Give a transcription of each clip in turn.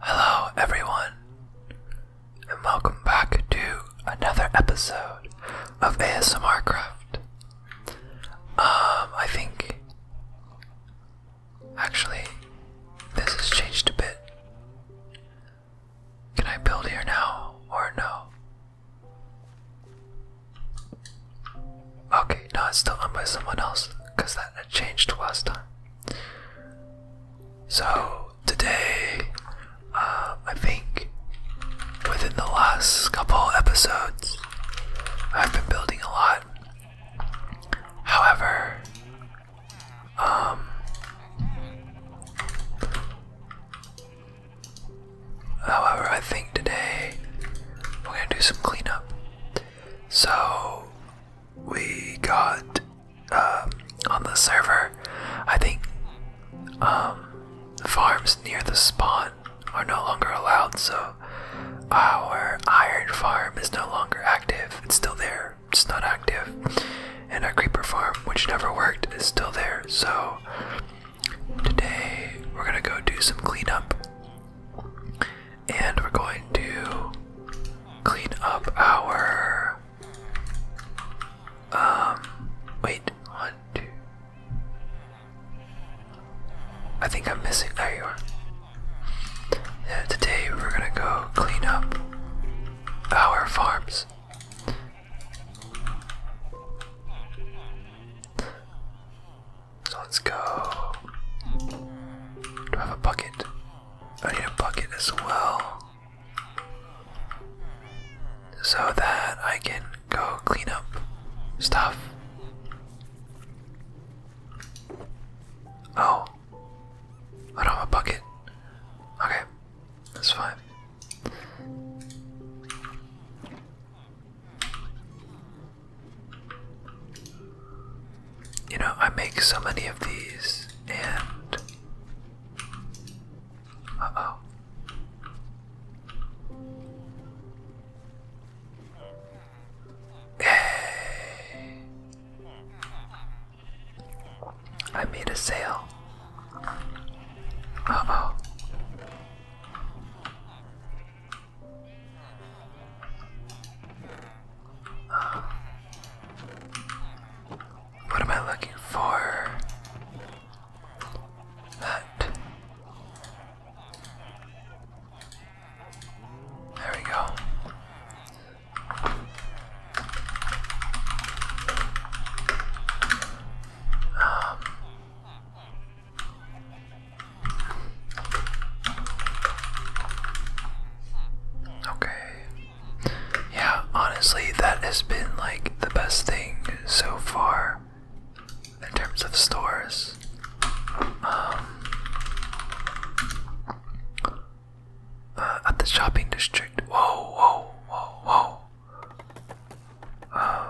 Hello, everyone, and welcome back to another episode of ASMR Craft. Um, I think actually this has changed a bit. Can I build here now or no? Okay, no, it's still owned by someone else because that had changed last time. So today, uh, I think within the last couple episodes, I've been building a lot. However, um, however, I think today we're gonna do some cleanup. So we got um, on the server, I think um, farms near the spawn are no longer allowed, so our iron farm is no longer active. It's still there, it's not active. And our creeper farm, which never worked, is still there. So today we're gonna go do some cleanup and we're going to clean up our um wait one two I think I'm missing today we're gonna go clean up our farms so let's go do I have a bucket I need a bucket as well. So that I can go clean up stuff. Oh. I don't have a bucket. Okay. That's fine you know, I make so many of these and. Uh oh. I made a sale. Uh oh what am I looking for? That. There we go. Um, okay yeah, honestly, that has been like the best thing so far in terms of stores. Um, uh, at the shopping district. Whoa, whoa, whoa, whoa. Um,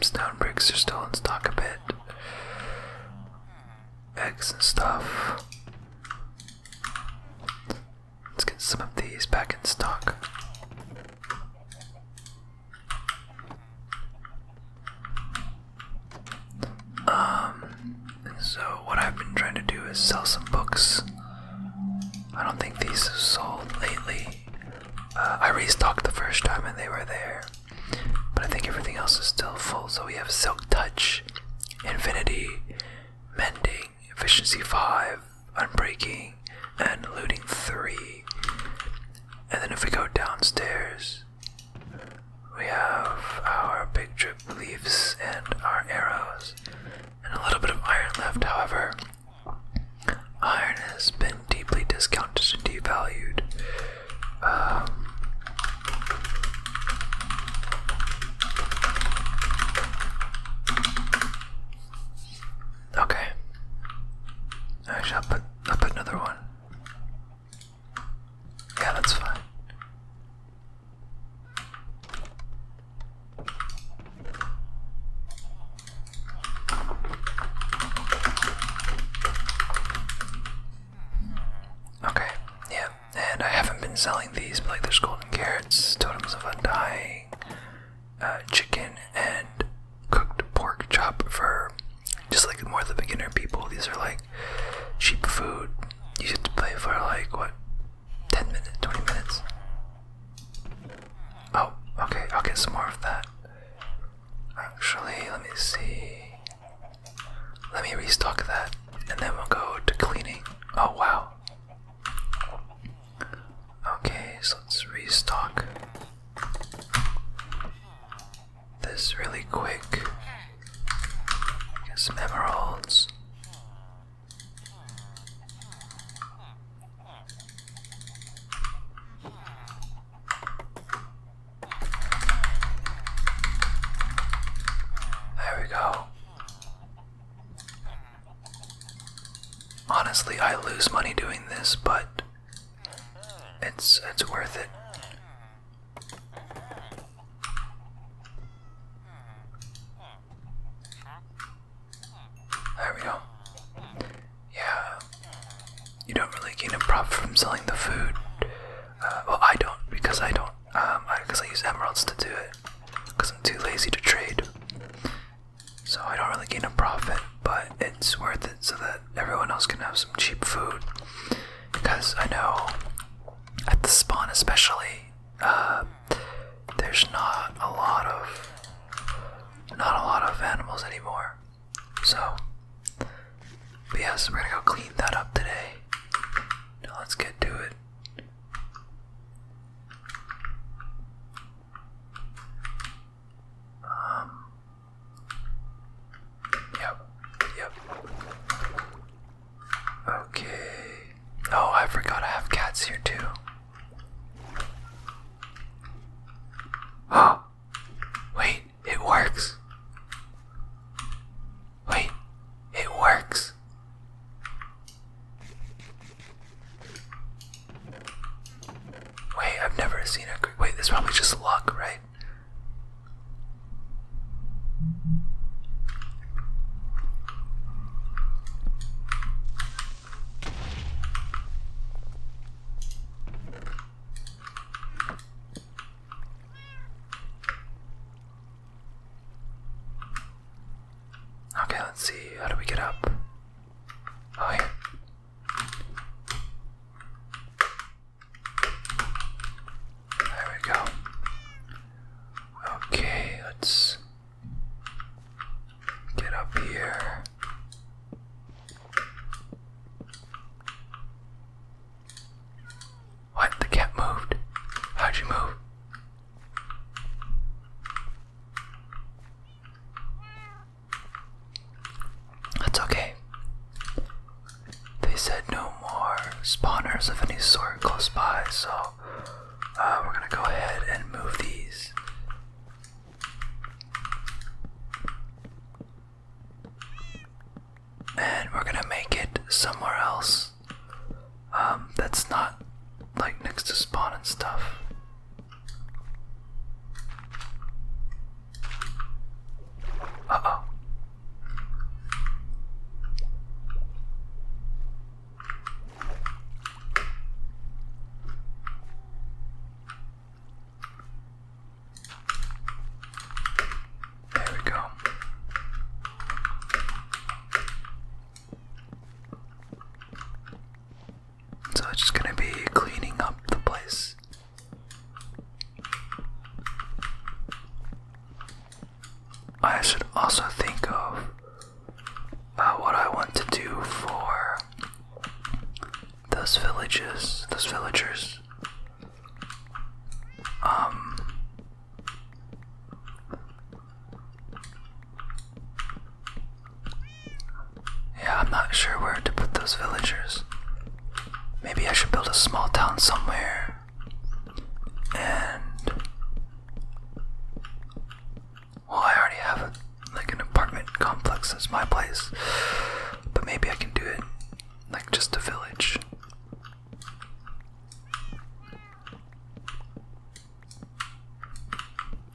stone bricks are still in stock a bit eggs and stuff. Let's get some of these back in stock. Um, so what I've been trying to do is sell some books. I don't think these have sold lately. Uh, I restocked the first time and they were there. But I think everything else is still full. So we have Silk Touch, Infinity, Mending, Efficiency 5, Unbreaking, and Looting 3. And then if we go downstairs, we have our big drip leaves and our arrows. And a little bit of iron left, however. Iron has been deeply discounted and devalued. Um, okay. I shall put I'll put another one. Yeah, that's fine. Okay, yeah, and I haven't been selling these, but like there's golden carrots, totems of undying, uh, chicken, and cooked pork chop for just like more the beginner people. These are like cheap food. You have to play for like what, 10 minutes, 20 minutes? Oh, okay, I'll get some more of that. Actually, let me see. Let me restock that, and then we'll go to cleaning. Oh wow. Okay, so let's restock this really quick. Get some there we go. Honestly, I lose money doing this, but it's it's worth it. There we go. Yeah. You don't really gain a profit from selling the food well, I don't because I don't. because um, I, use emeralds to do it. Because I'm too lazy to trade. So I don't really gain a profit, but it's worth it so that everyone else can have some cheap food. Because I know at the spawn, especially, uh, there's not a lot of not a lot of animals anymore. So but yes, we're gonna go clean that up today. let's get to it. Um. Yep. Yep. Okay. Oh, I forgot I have cats here too. Oh. Wait it works. Wait, it works. Wait, I've never seen a. Wait, this probably just luck, right? Okay, let's see. How do we get up? Oh, here. There we go. Okay, let's get up here. What? The cat moved. How'd you move? That's okay. They said no more spawners of any sort close by, so uh, we're gonna go ahead and move these and we're gonna make it somewhere else um, that's not like next to spawn and stuff. Uh oh. There we go. So it's just gonna be cleaning up the place. I should also think of uh, what I want to do for those villages, those villagers. Um Yeah, I'm not sure where to put those villagers. Maybe I should build a small town somewhere and well, I already have like an apartment complex as my place, but maybe I can do it like just a village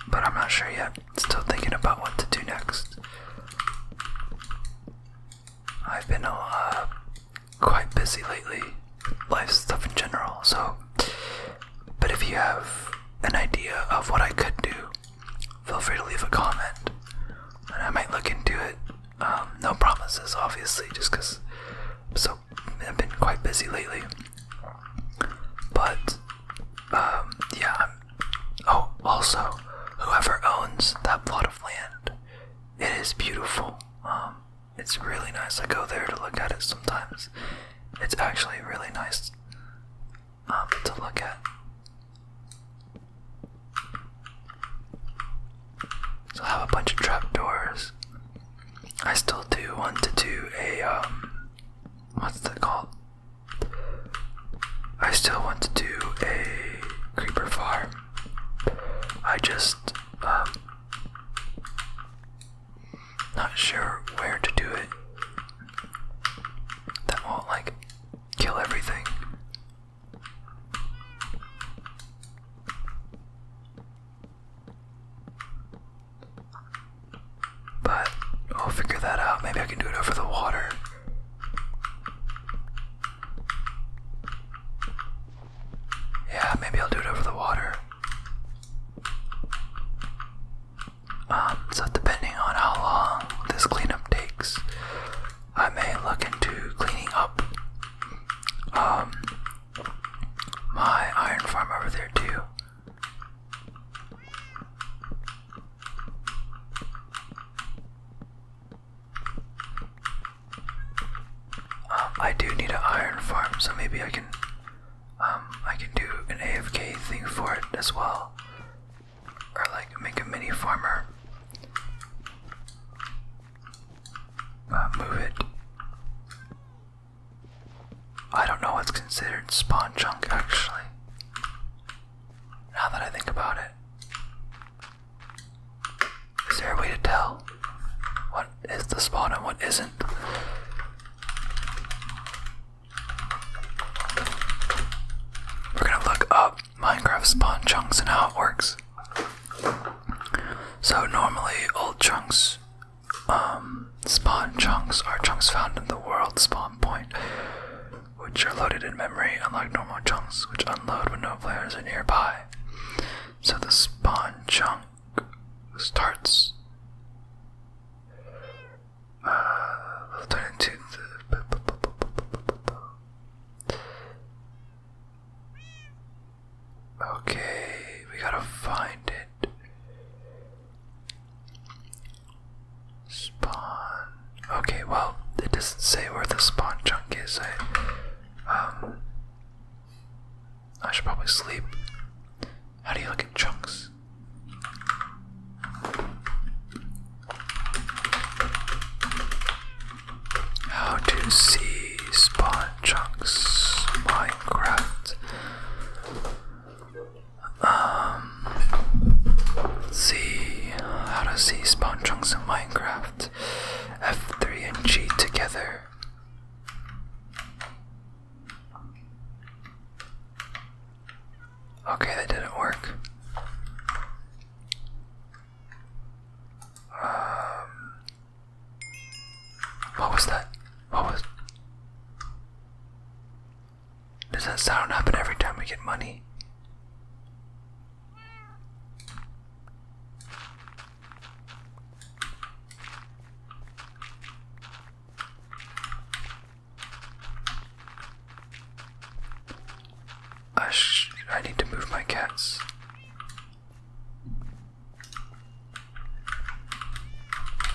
but I'm not sure yet. Still thinking about what to do next. I've been uh, quite busy lately, life stuff in general, so. But if you have an idea of what I could do, feel free to leave a comment and I might look into it um, no promises, obviously, just because so I've been quite busy lately. But um, yeah. oh, also, whoever owns that plot of land, it is beautiful. Um, it's really nice. I go there to look at it sometimes. It's actually really nice to look at. So I have a bunch of trapdoors. I still do want to do a um what's that called? I still want to do a creeper farm. I just um, not sure where to do it. That won't like kill everything. But I'll figure that out. Maybe I can do it over the water. Yeah, maybe I'll do it over the water. Um, so depending on how long this cleanup takes, I may look into cleaning up um, my iron farm over there too. Um, I do need an iron farm, so maybe I can, um, I can do an AFK thing for it as well, or like make a mini farmer. Uh, move it. I don't know what's considered spawn junk actually. Now that I think about it, is there a way to tell what is the spawn and what isn't? We're gonna look up Minecraft spawn chunks and how it works. So normally old chunks, um, spawn chunks are chunks found in the world spawn point, which are loaded in memory, unlike normal chunks, which unload when no players are nearby. So the spawn chunk starts uh, turn into the Okay, we gotta find it. Spawn. Okay, well, it doesn't say where the spawn chunk is. I, um, I should probably sleep. How do you look at chunks? How to see spawn chunks Minecraft. Um, let see how to see spawn chunks in Minecraft. F3 and G together. Okay, that didn't work. Um, what was that? What was. Does that sound happen every time we get money? I, I need to move my cats.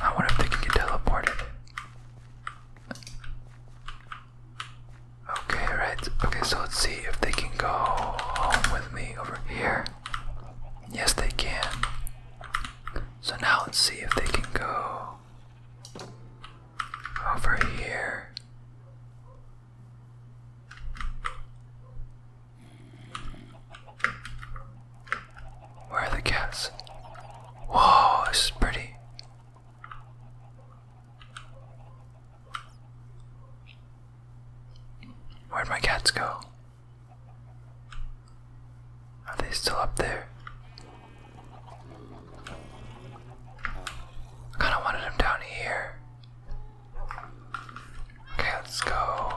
I wonder if they can get teleported. Okay, right. Okay, so let's see if they can go home with me over here. Yes, they can. So now let's see if they can go over here. Where are the cats? Whoa, this is pretty. Where'd my cats go? Are they still up there? I kind of wanted them down here. Okay, let's go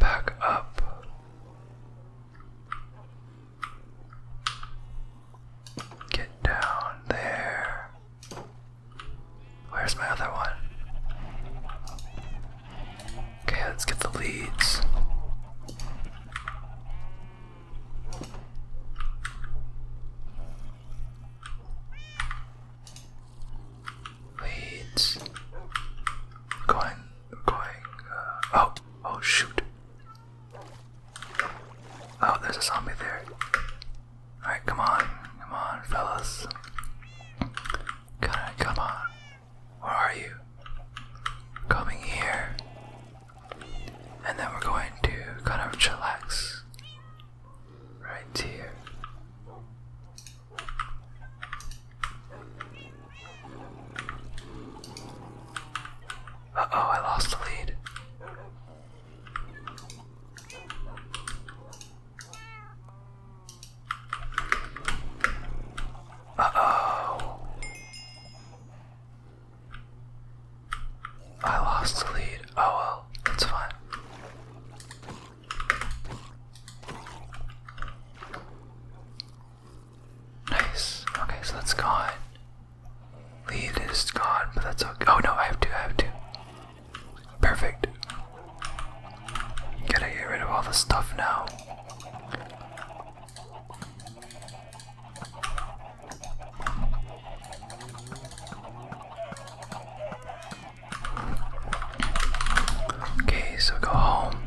back up. Get down there. Where's my other one? Okay, let's get the leads. Wait. Going, going. Uh, oh, oh shoot. Oh, there's a zombie there. Alright, come on. Come on, fellas. Come on, come on. Where are you? Coming here. And then we're going to kind of chillax right here. Uh oh, I lost the lead. Uh oh. I lost the lead. Oh well, that's fine. Nice. Okay, so that's gone. Lead is gone, but that's okay. Oh no, I have to. I have to. Perfect. Gotta get rid of all the stuff now. Okay, so go home,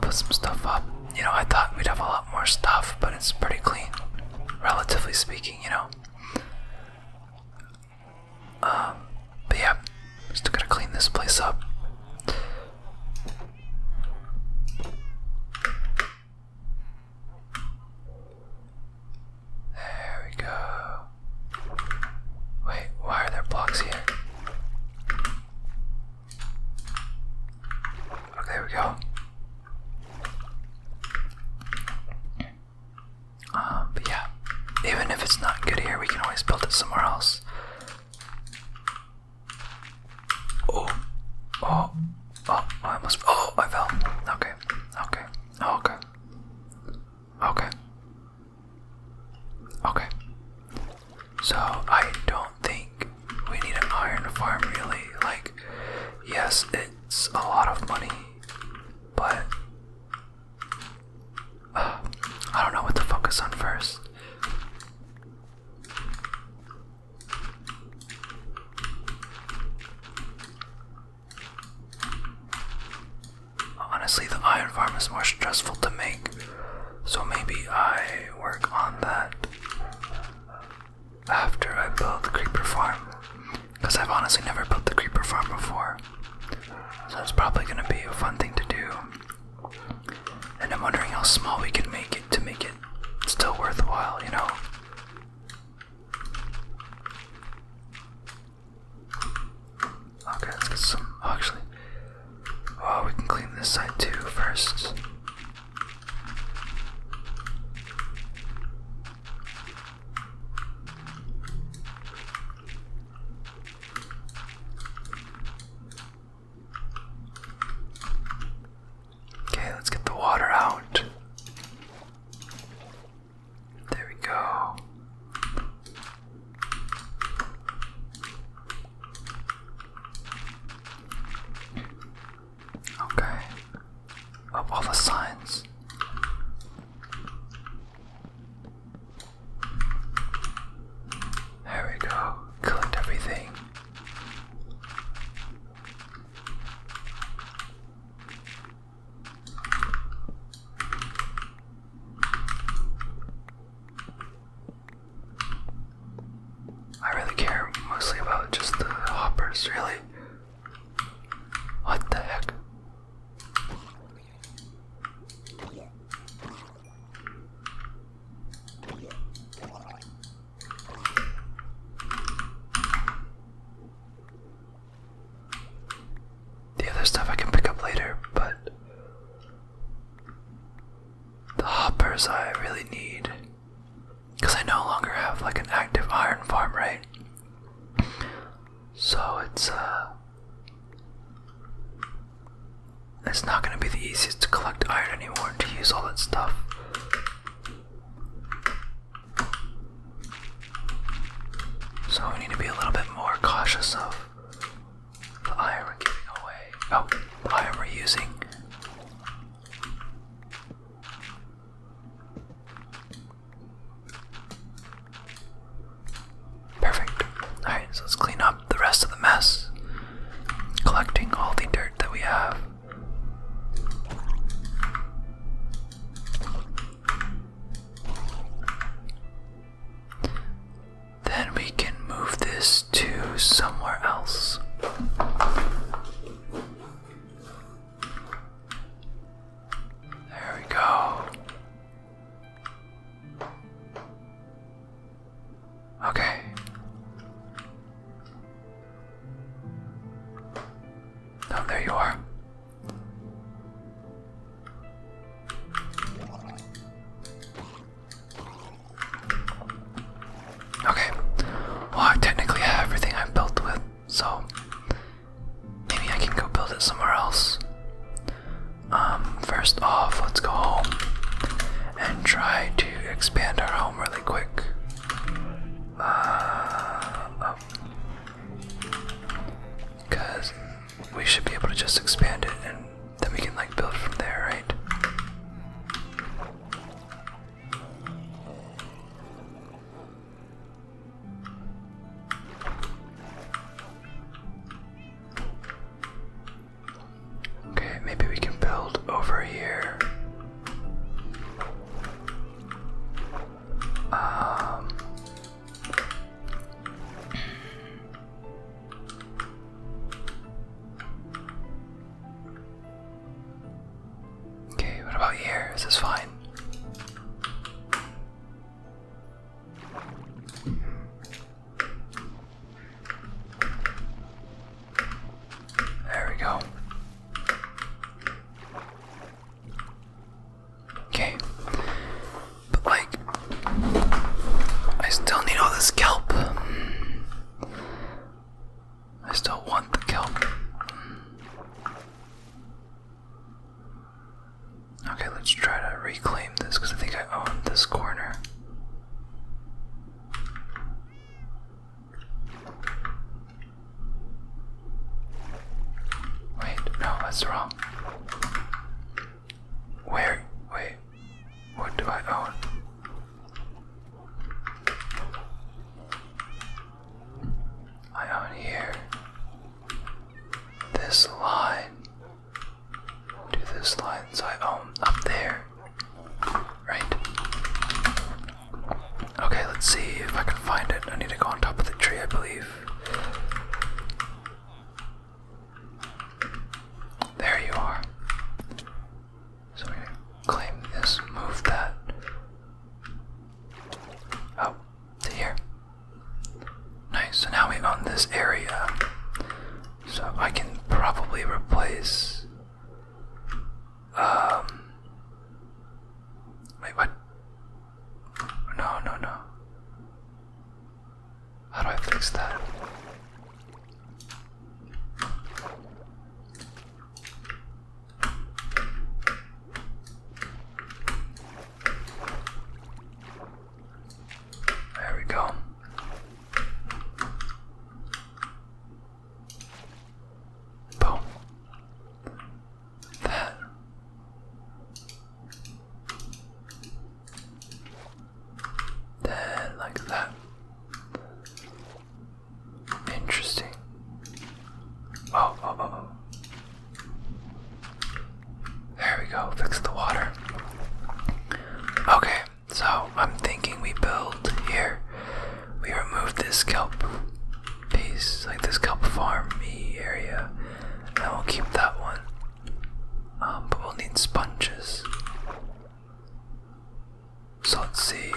put some stuff up. You know, I thought we'd have a lot more stuff, but it's pretty clean, relatively speaking, you know. Um, but yeah, still gotta clean this place up. There we go. Wait, why are there blocks here? Okay, oh, we go. Um, yeah, even if it's not good here, we can always build it somewhere else. Oh, oh, oh, I almost, oh, I fell. Okay, okay, okay. Okay. Okay. So I don't think we need an iron farm really. Like, yes, it's a lot of money, but uh, I don't know what to focus on first. Honestly, the iron farm is more stressful to make, so maybe I work on that after I build the creeper farm. Because I've honestly never built the creeper farm before, so it's probably going to be a fun thing to do. And I'm wondering how small we can make it to make it still worthwhile, you know? Okay, let's get some. actually, oh, we can clean this side too first. Okay, let's get the water out. There we go. Okay. Up all the signs. There we go. Collect everything. I really care mostly about just the hoppers, really. What the heck? The other stuff I can pick up later, but the hoppers I really need. Because I no longer have like an active iron farm, right? So it's uh it's not gonna be the easiest to collect iron anymore to use all that stuff. So we need to be a little bit more cautious of the iron we're giving away. Oh, iron we're using. Perfect. Alright, so let's clean up the rest of the mess. Collecting all the dirt that we have. Then we can move this to somewhere else. There we go. Okay. Oh, there you are. Okay. Well, I technically have everything I built with, so maybe I can go build it somewhere else. Um, first off, let's go home and try to expand our home really quick. Uh, Because oh we should be able to just expand it and then we can like build from there, right? Okay, maybe we can build over here. Um Okay, what about here? this is fine? There we go. Okay. But like I still need all this kelp. I still want the kelp. Okay, let's try to reclaim this because I think I own this corner. Wait, no, that's wrong. Where? Wait. What do I own? I own here. This line. To this line, I own up there. Right? Okay, let's see if I can find it. I need to go on top of the tree, I believe. There you are. So we claim this, move that up oh, to here. Nice, so now we own this area. So I can probably replace um wait what no, no, no. How do I fix that? There we go. Boom that. Then, like that. Interesting. Oh, oh, oh, oh. There we go. Fix the water. Okay, so I'm thinking we build here. We remove this kelp piece, like this kelp farm me area, and we'll keep that one. Um, but we'll need sponges. So let's see.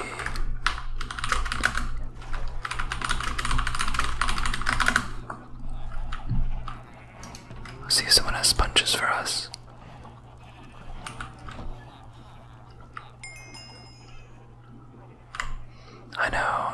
see if someone has sponges for us. I know.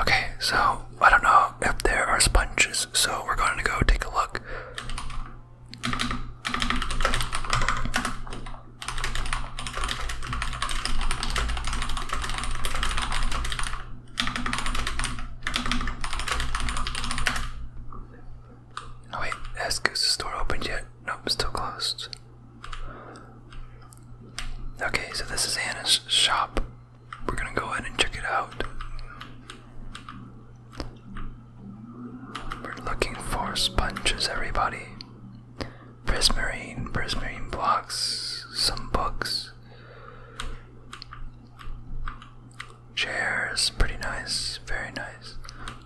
Okay, so I don't know if there are sponges, so we're going to go take a look. Oh, wait, has Goose's door opened yet? Nope, still closed. Okay, so this is Anna's shop. We're gonna go ahead and check it out. We're looking for sponges, everybody. Prismarine, prismarine blocks, some books, chairs, pretty nice, very nice.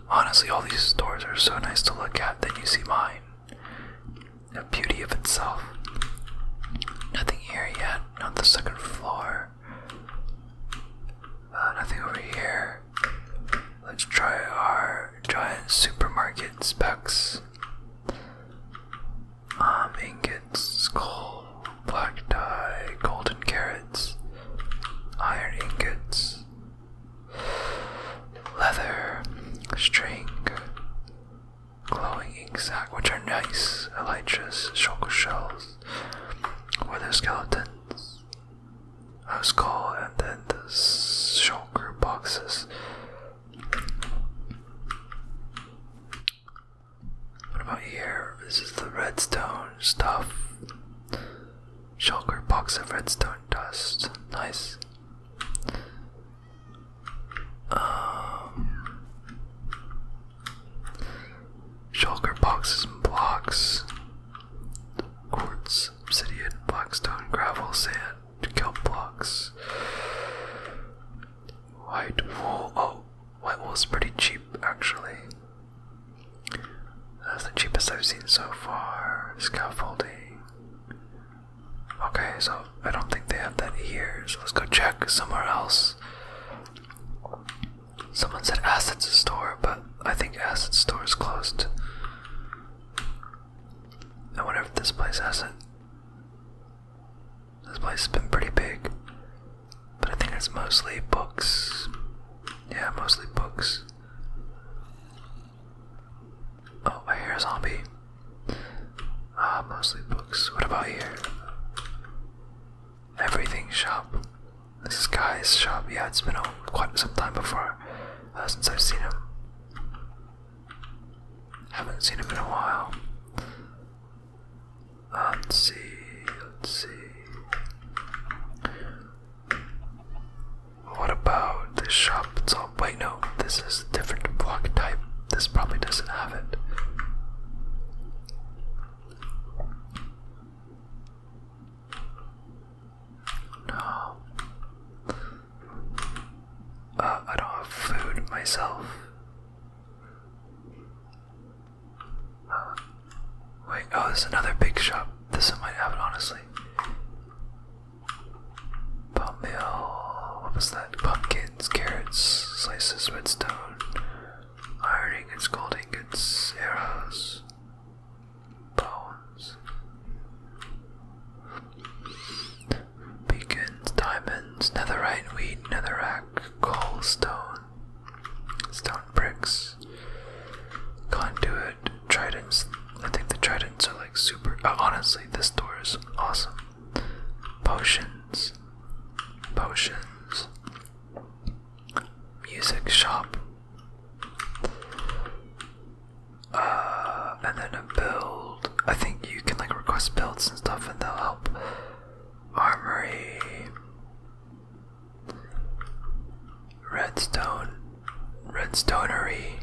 Honestly, all these stores are so nice to look at. Then you see mine a beauty of itself. Nothing here yet, not the second floor. Uh, nothing over here. Let's try our giant supermarket specs. Um, ingots, skull, black dye, golden carrots, iron ingots, leather, string, glowing ink sac, which are nice. Elytras, shulker shells, weather skeletons, a skull, and then the shulker boxes. What about here? This is the redstone stuff. Shulker box of redstone dust. Nice. Um, boxes and blocks, quartz, obsidian, blackstone, gravel, sand, kelp blocks, white wool. Oh, white wool is pretty cheap actually. That's the cheapest I've seen so far. Scaffolding. Okay, so I don't think they have that here, so let's go check somewhere else. Someone said Assets Store, but I think Assets Store is closed. I wonder if this place has it. This place has been pretty big, but I think it's mostly books. Yeah, mostly books. Oh, I hear a zombie. Ah, mostly books. What about here? Everything shop. This is Guy's shop. Yeah, it's been quite some time before uh, since I've seen him. Haven't seen him in a while. Uh, let's see. Let's see. What about this shop? It's wait, no, this is a different block type. This probably doesn't have it. No. Uh, I don't have food myself. wait, oh, there's another big shop. This one might have it, honestly. Palm What was that? Pumpkins, carrots, slices, redstone, ironing, and gold and arrows, bones, beacons, diamonds, netherite, wheat, netherack, coal, stone, stone bricks, conduit, tridents. I think the tridents are like super. Uh, honestly, this door is awesome. Potions. Potions. Music shop. Uh, and then a build. I think you can like request builds and stuff, and they'll help. Armory. Redstone. Redstonery.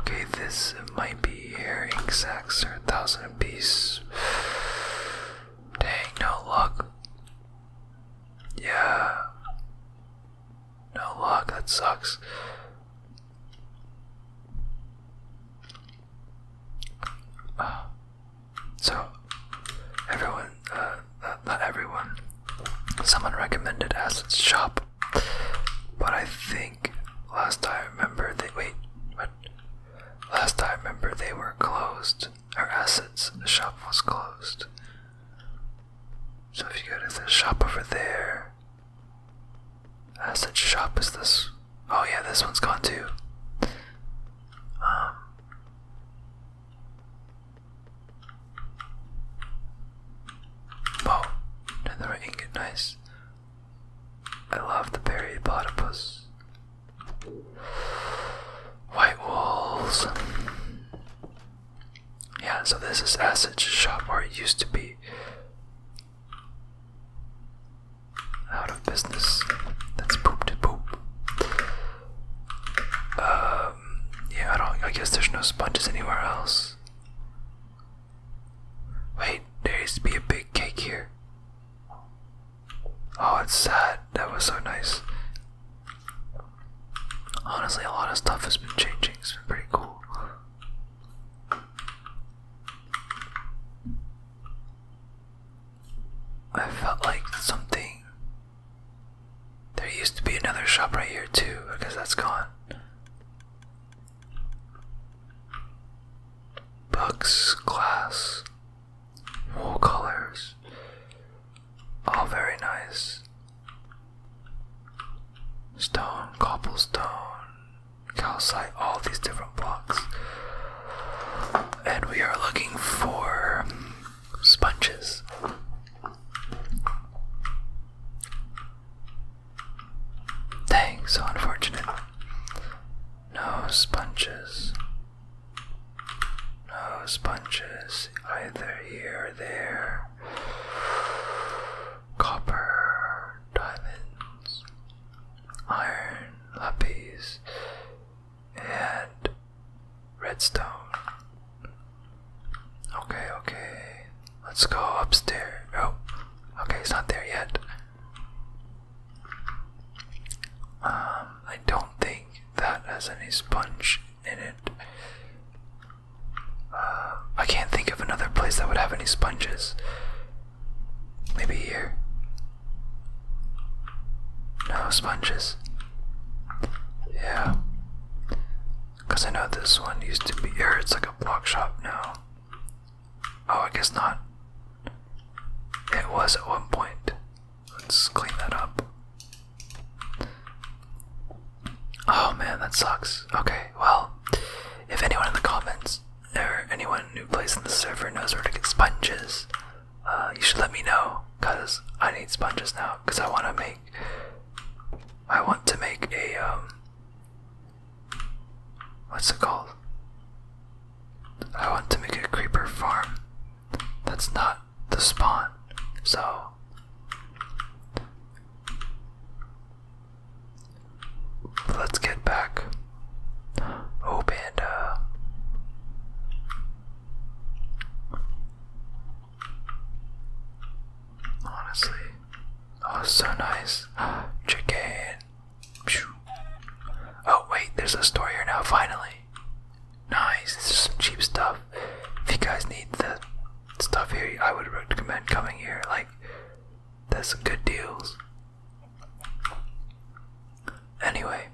Okay, this might be here. Ink sacks are a thousand apiece. Dang, no luck. Yeah. No luck, that sucks. Ah. so, everyone, uh, not everyone, someone recommended Assets shop, but I think last time I remember they wait, But Last time I remember they were closed. Or Acid's shop was closed. So if you go to the shop over there, Assets shop is this. Oh yeah, this one's gone too. Um. Whoa, another ingot, nice. I love the berry platypus. White walls. Yeah, so this is Asset's shop where it used to be. Out of business. That's poop to poop. Um, yeah, I don't. I guess there's no sponges anywhere else. Wait, there used to be a big cake here. Oh, it's sad. That was so nice. Honestly, a lot of stuff has been changing. It's been pretty cool. I felt like something. There used to be another shop right here, too. I guess that's gone. Books, glass, wool colors, all very nice. Stone, cobblestone, calcite, all these different blocks. And we are looking for sponges. Dang, so unfortunate. No sponges. No sponges either here or there. Copper, diamonds, iron, lapis, and redstone. Okay, okay. Let's go upstairs. Oh, okay, it's not there yet. Um, I don't think that has any sponge in it. Uh, I can't think of another place that would have any sponges. Maybe here. No sponges. Yeah. Because I know this one used to be, here. it's like a block shop now. Oh, I guess not. It was at one point. Let's clean that up. Oh man, that sucks. Okay, well, if anyone in the comments or anyone new place in the server knows where to get sponges, uh, you should let me know because I need sponges now because I want to make I want to make a um, What's it called? I want to make a creeper farm that's not the spawn, so let's get back. Oh, panda. Honestly. Oh, so nice. Chicken. Oh, wait, there's a store here now, finally. Nice. This is some cheap stuff. If you guys need the stuff here, I would recommend coming here. Like, there's some good deals. Anyway,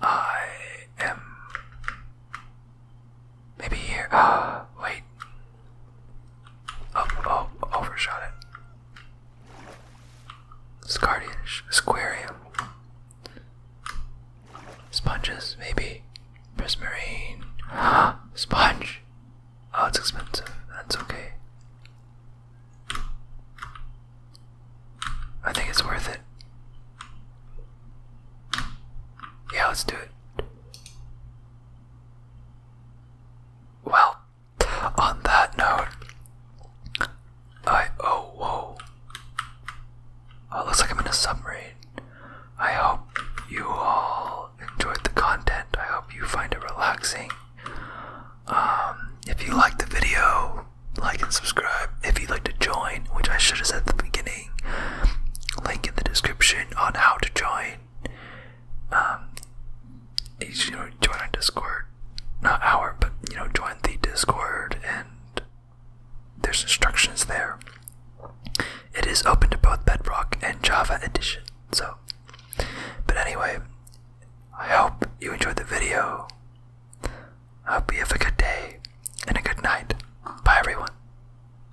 I am Maybe here. Ah, wait. Oh, oh, overshot it. Scardish, Squarium. Sponges, maybe. Prismarine. Sponge. Oh, it's expensive. That's okay. I think it's worth it. Yeah, let's do it. Well, on that note, I oh whoa. Oh, looks like I'm in a submarine. I hope you all enjoyed the content. I hope you find it relaxing. Um, if you liked the video, like and subscribe. If you'd like to join, which I should have said at the beginning. Link in the description on how to join. Um, you know, join our Discord. Not our, but you know, join the Discord, and there's instructions there. It is open to both Bedrock and Java Edition. So, but anyway, I hope you enjoyed the video. I hope you have a good day and a good night. Bye, everyone.